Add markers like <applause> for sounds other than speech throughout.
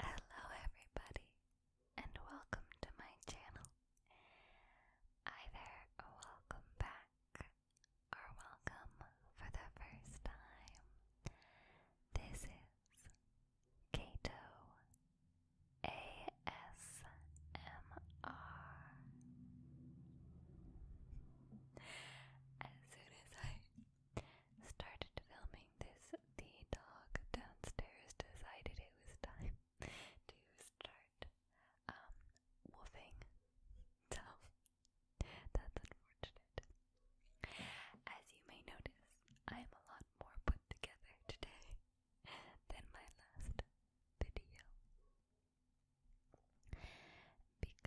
Hello, everybody, and welcome to my channel. there, Either welcome back or welcome for the first time. This is Kato ASMR. As soon as I started filming this, the dog downstairs decided it was time <laughs> to start um, woofing. So <laughs> that's unfortunate. As you may notice, I am a lot more put together today <laughs> than my last video. Because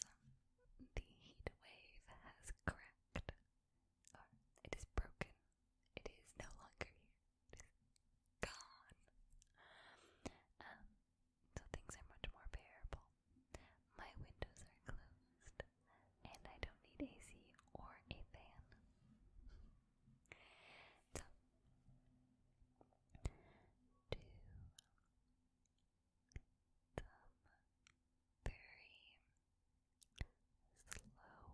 the heat wave has cracked it is broken, it is no longer here, it is gone. Um, so things are much more bearable. My windows are closed, and I don't need AC or a fan. So, some very slow whispers, and I'm going to get close, really close you. And I thought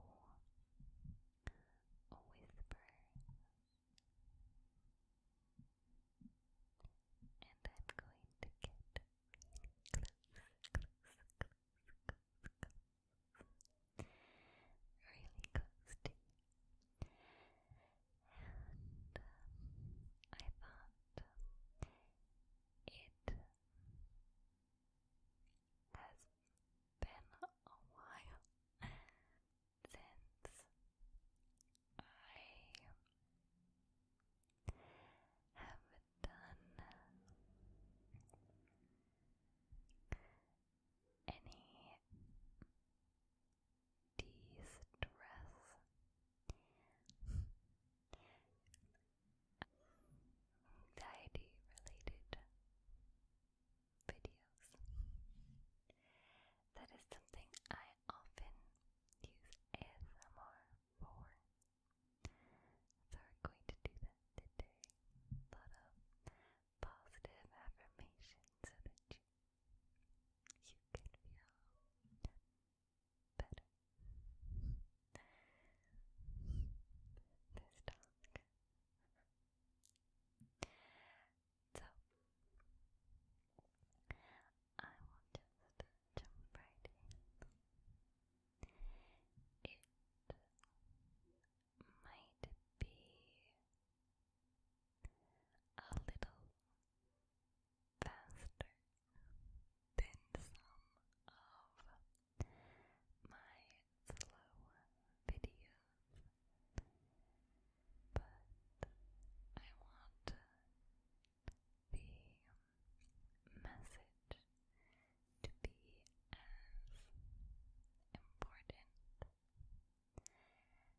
it has been a while since I have done any distress anxiety related videos. That is something I often use ASMR for. So we're going to do that today. A lot of positive affirmations so that you, you can feel better. <laughs> this dog. So, I will just jump right in. It might be a little faster than some of my slow videos, but I want the message to be as important as the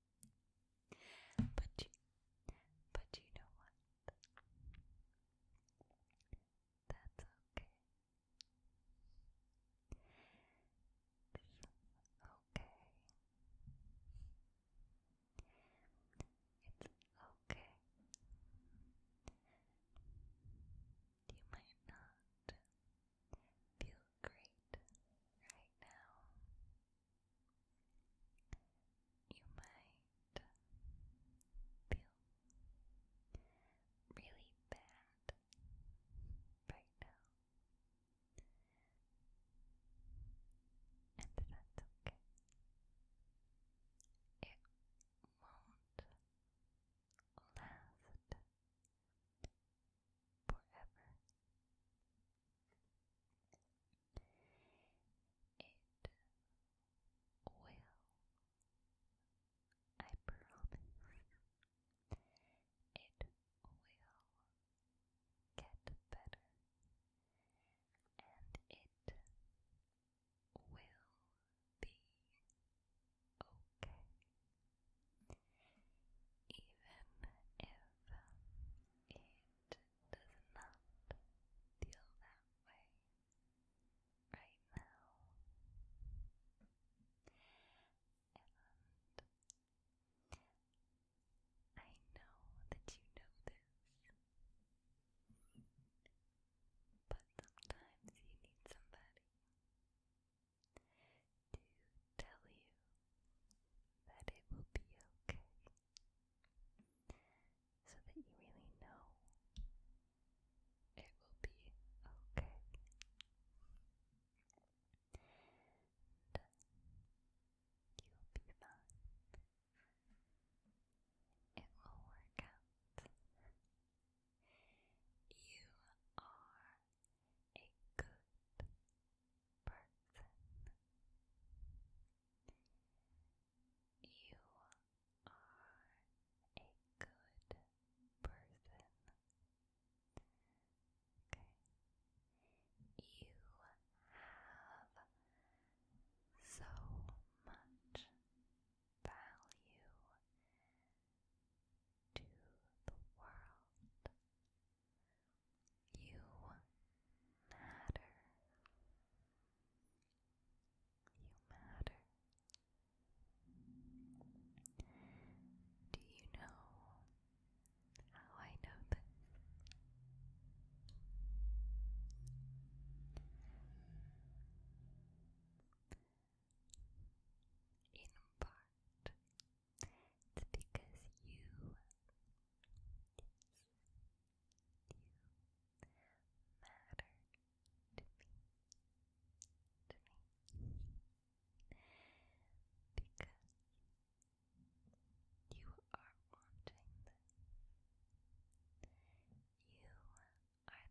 But, but you know what? That's okay. okay. It's okay. You might not feel great right now. You might feel really bad right now, and that's okay. It won't last forever. It will, I promise, it will get better and it will be okay even if it does not feel that way right now. And I know that you know this, but sometimes you need somebody to tell you that it will be okay, so that you really know it will be okay. And uh, you'll be fine. It will work out. You are a good person. You are a good person. Okay. You have so much value to the world. You matter. You matter. Do you know how I know this? In part it's because you, you matter to me, to me, because you are wanting You are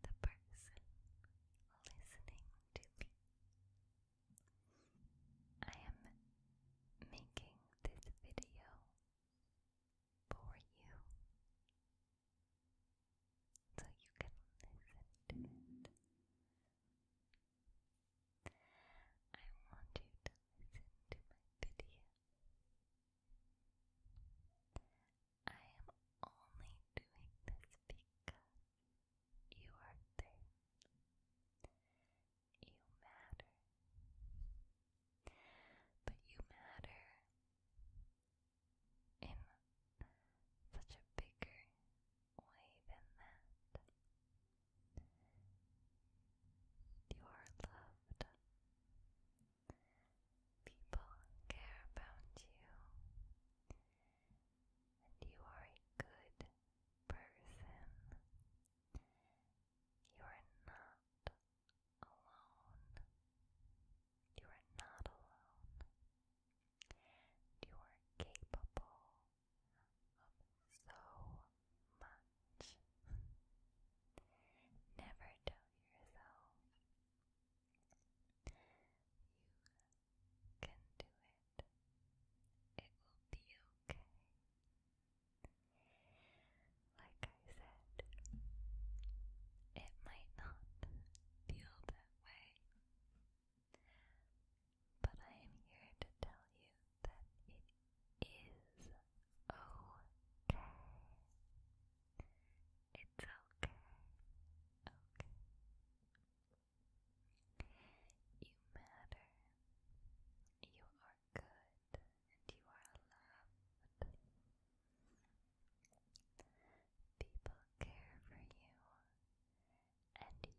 the person listening to me. I am making this video for you so you can listen to it. I want you to listen to my video. I am only doing this because you are there. You matter. But you matter in such a bigger way than that. You are loved. People care about you, and you are good person. You are not alone. You are not alone. You are capable of so much. Never tell yourself you can do it. It will be okay. Like I said, it might not feel that way, but I am here to tell you that it is okay. It's okay. Okay. You matter. You are good and you are loved. People care for you and you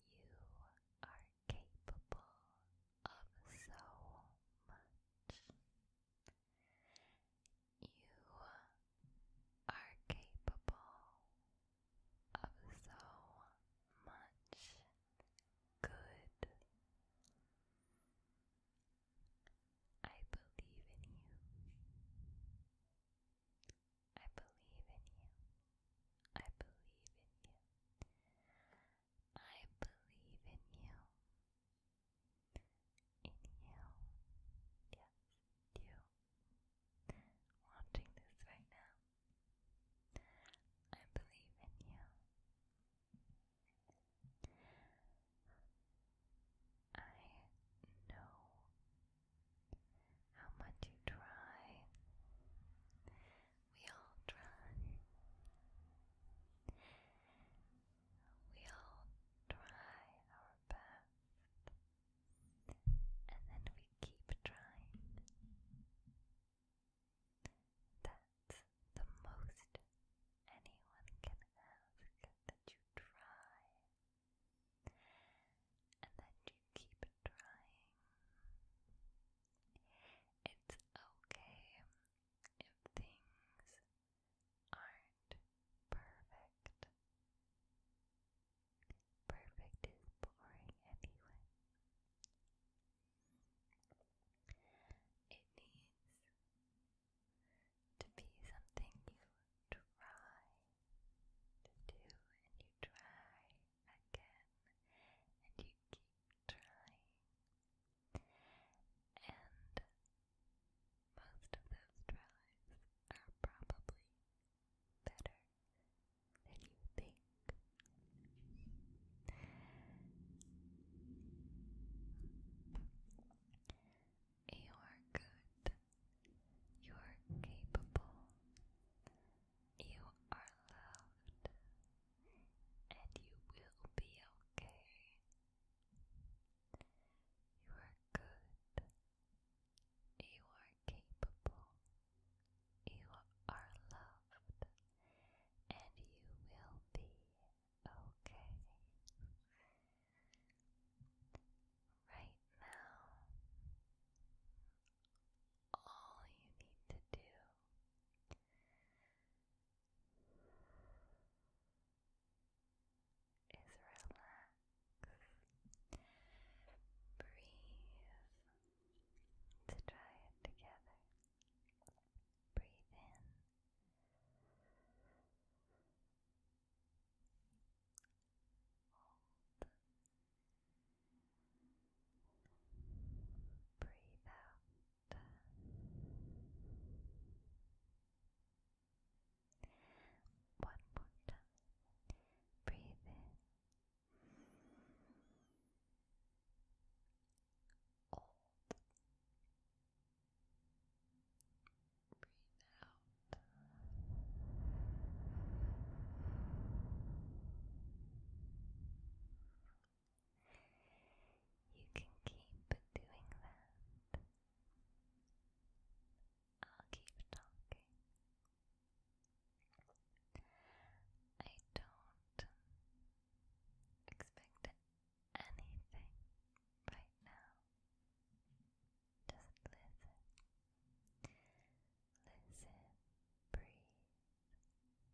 are capable of so much. You are capable of so much good. I believe in you. I believe in you. I believe in you. I believe in you. In you. Yes, you watching this right now. I believe in you. I know how much you try. We all try. We all try our best and then we keep trying. That's the most anyone can ask that you try, and that you keep trying. It's okay if things aren't perfect. Perfect is boring anyway. It needs to be something you try to do and you try again and you keep trying. And most of those tries are probably better than you think. You are good. You are capable. You are loved. And you will be okay. You are good. You are capable, you are loved, and you will be okay. Right now, all you need to do is relax. Breathe. Let's try it together. Breathe in. Hold. Breathe out. One more time. Breathe in. Breathe out. You can keep doing that. I'll keep talking. I don't expect anything right now. Just listen. Listen, breathe,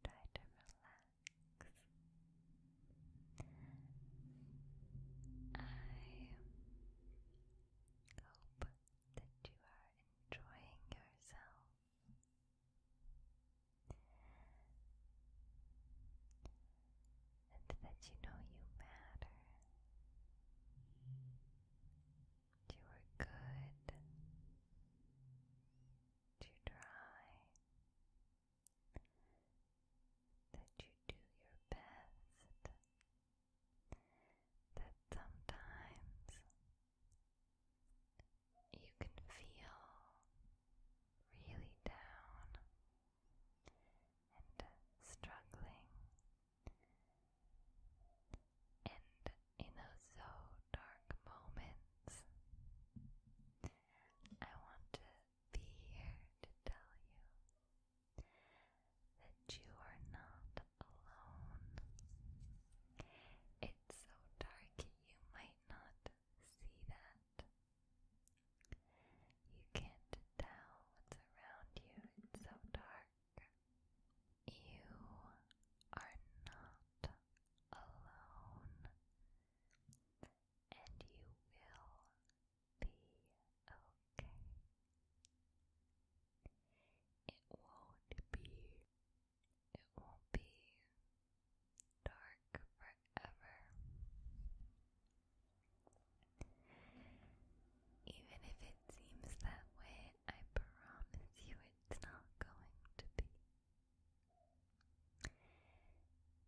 try to relax. I hope that you are enjoying yourself. And that you know you matter. You are good. You try. That you do your best that sometimes you can feel really down and struggling, and in those so dark moments, I want to be here to tell you that you are not alone. It's so dark you might not see that. You can't tell what's around you, it's so dark. You are not alone, and you will be okay. It won't be, it won't be dark forever. Even if it seems that way, I promise you it's not going to be.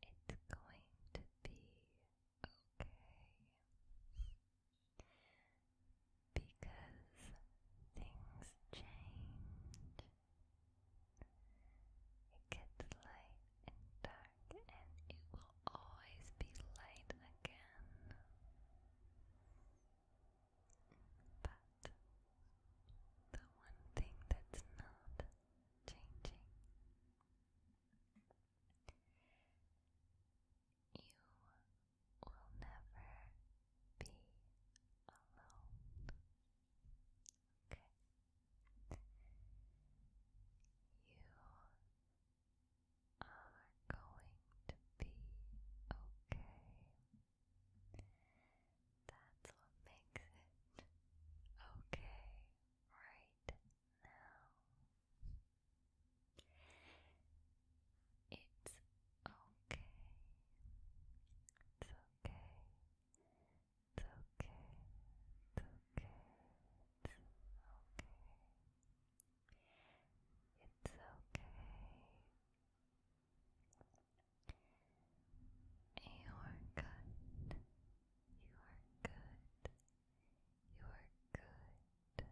It's going to be okay because things change. It gets light and dark, and it will always be light again. But the one thing that's not changing you will never be alone. Okay. You are going to be okay. That's what makes it okay right now. It's okay. It's okay. It's okay. It's okay. It's okay. It's okay. You are good. You are good. You are good.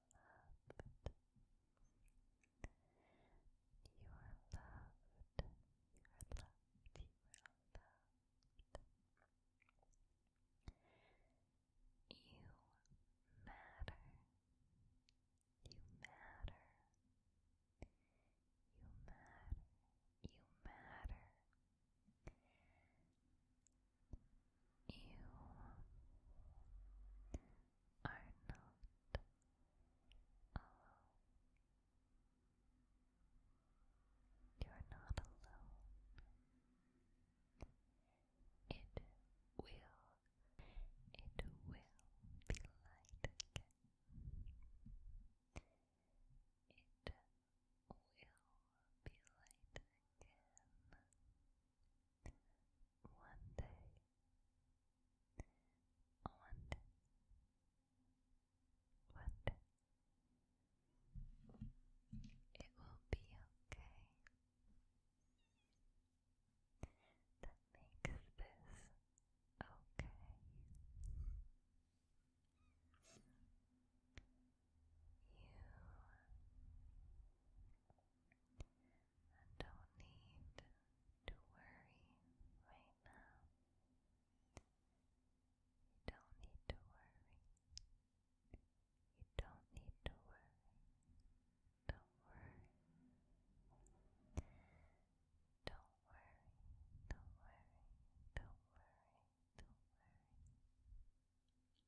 loved. You are loved. You are loved. You are loved. You matter. You matter. You matter. You matter. You are not alone. You're not alone. It will, it will be light again. It will be light again. One day. One day. One day. It will be okay. That makes this okay. You don't need to worry right You don't need to worry. You don't need to worry. Don't worry. Don't worry. Don't worry. Don't worry.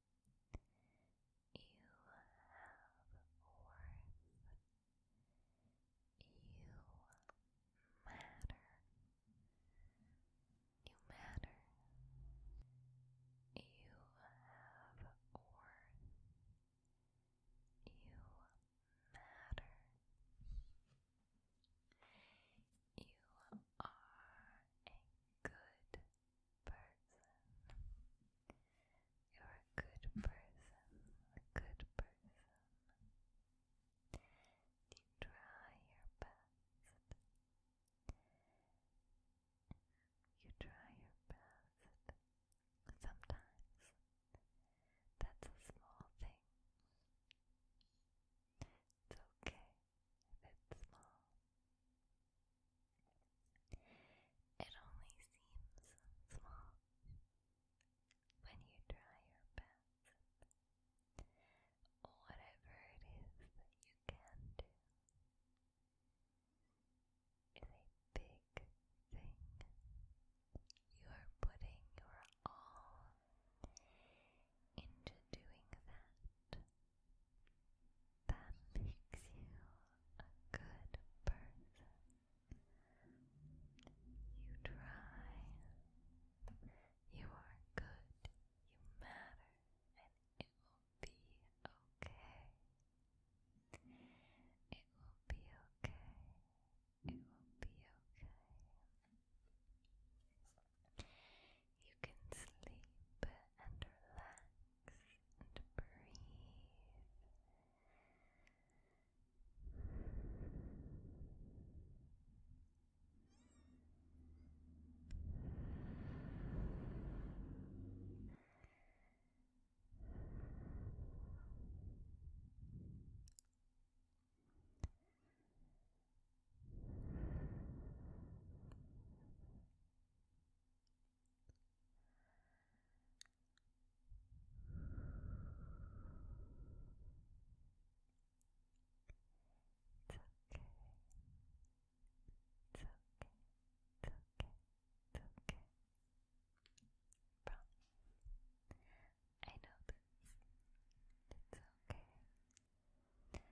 You have worth. You matter. You matter. You have worth. You matter. You are a good person. You're a good person, a good person. You try your best. You try your best. Sometimes that's a small thing. It's okay if it's small. It only seems small when you try your best. Whatever it is that you can do is a big thing. You are putting your all into doing that that makes you a good person. You try. You are good. You matter. And it will be okay. It will be okay. It will be okay. You can sleep and relax and breathe. It's okay. It's okay. It's okay. It's okay. I know this. It's okay.